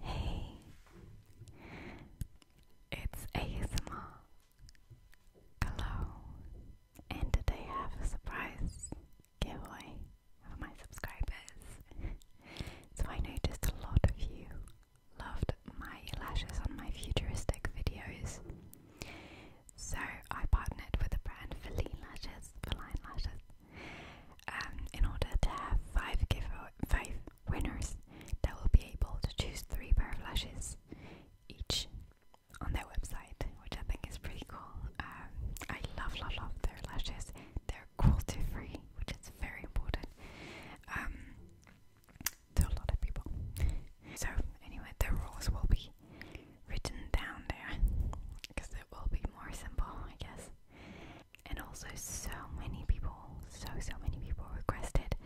Hey, it's ASMR. Hello, and today I have a surprise giveaway for my subscribers. so I noticed a lot of you loved my lashes on my futuristic videos. So I partnered with the brand Feline Lashes, Feline Lashes, um, in order to have five give five winners that will be able to choose three pair of lashes each on their website, which I think is pretty cool. Um, I love, love, love their lashes. They're cruelty free, which is very important um, to a lot of people. So anyway, the rules will be written down there because it will be more simple, I guess. And also, so many people, so so many people requested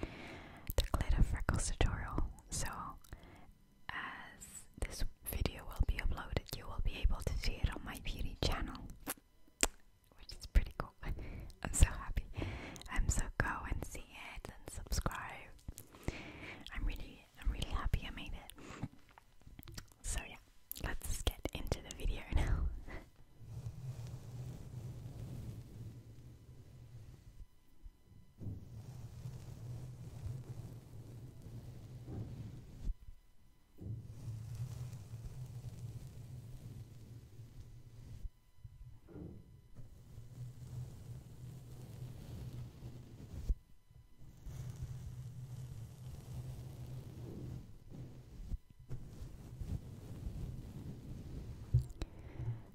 the glitter freckles tutorial. So, as this video will be uploaded, you will be able to see it on my beauty channel, which is pretty cool. I'm so happy. Um, so go and see it and subscribe. I'm really, I'm really happy I made it. So yeah, let's get into the video now.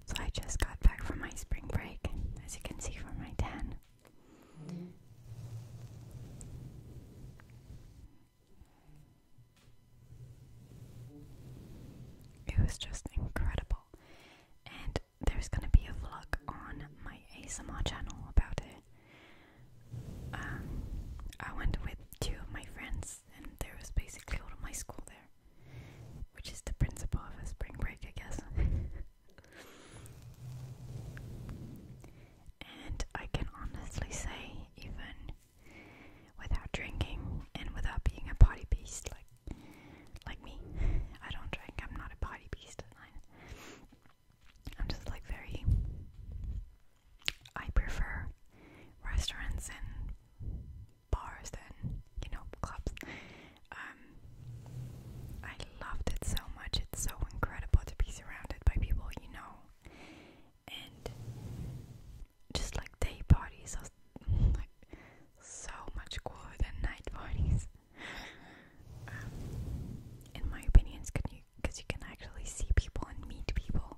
So I just got back from my spring break, as you can see from my tan. It was just incredible. And there's gonna be a vlog on my ASMR channel about it. Um, I went with two of my friends, and there was basically all of my school there, which is the principle of a spring break, I guess. and I can honestly say, even without drinking and without being a party beast like like me, I don't drink. I'm not a party beast. I'm just like very I prefer restaurants and bars than, you know, clubs. Um, I loved it so much. It's so incredible to be surrounded by people you know. And just like day parties are like so much cooler than night parties. Um, in my opinion, because you can actually see people and meet people.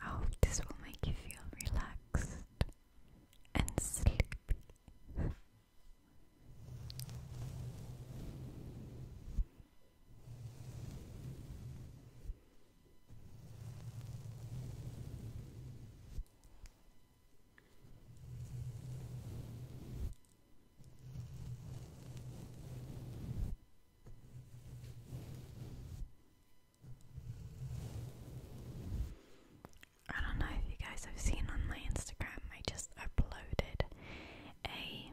I hope this will make you feel relaxed and sleepy. I don't know if you guys have seen on my Instagram, I just uploaded a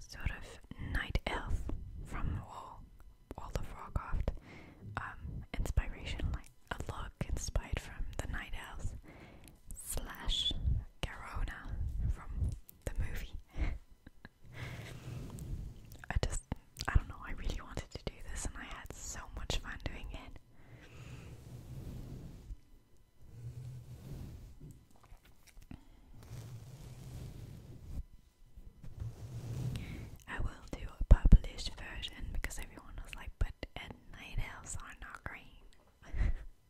sort of night elf from Wall, Wall of Warcraft um, inspiration, like a look inspired from the night elves slash Garona from the movie. I just, I don't know, I really wanted to do this and I had so much fun doing it. I will do a published version because everyone was like, but night elves are not green.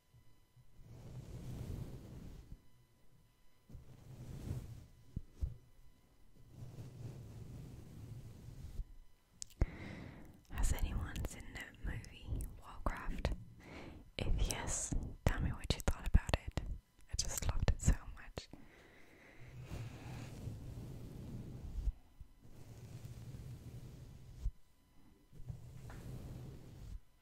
Has anyone seen the movie Warcraft? If yes, tell me what you thought about it. I just loved it so much.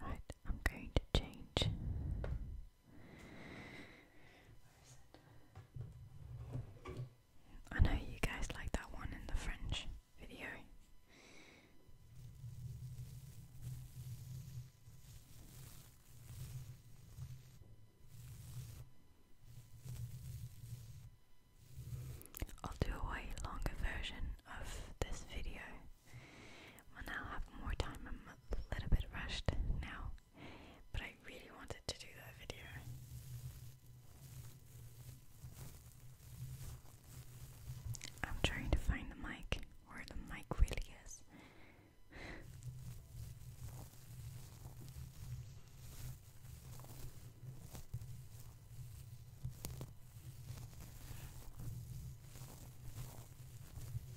Right, I'm going to change I know you guys like that one in the French video. I'll do a way longer version of this video when i have more time. I'm a little bit rushed now but I really wanted to do that video. I'm trying to find the mic, where the mic really is.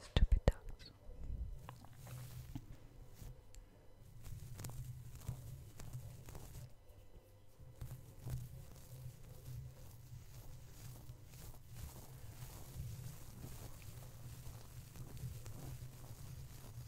Stupid dogs.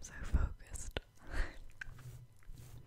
I'm so focused.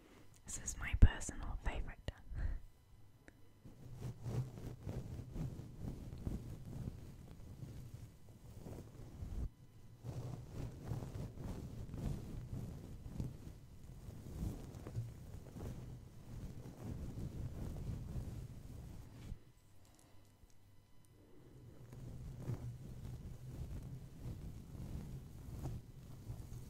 This is my personal favourite.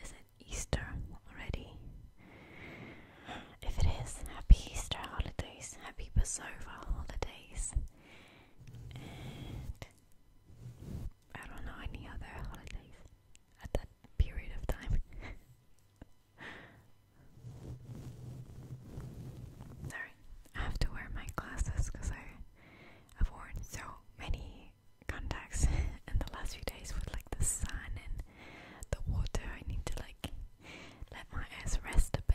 Is it Easter already? If it is, happy Easter holidays, happy Passover holidays, I don't know any other holidays at that period of time. Sorry, I have to wear my glasses because I've worn so many contacts in the last few days with like the sun and the water. I need to like let my eyes rest a bit.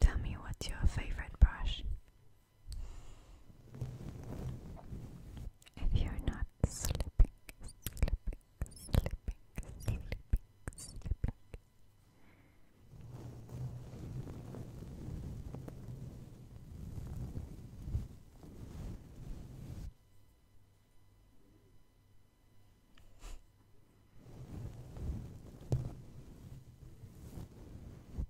Tell me what's your favorite brush. If you're not slipping, slipping, slipping, slipping, slipping.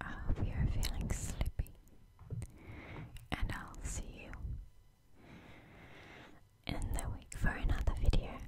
I are feeling sleepy, and I'll see you in the week for another video.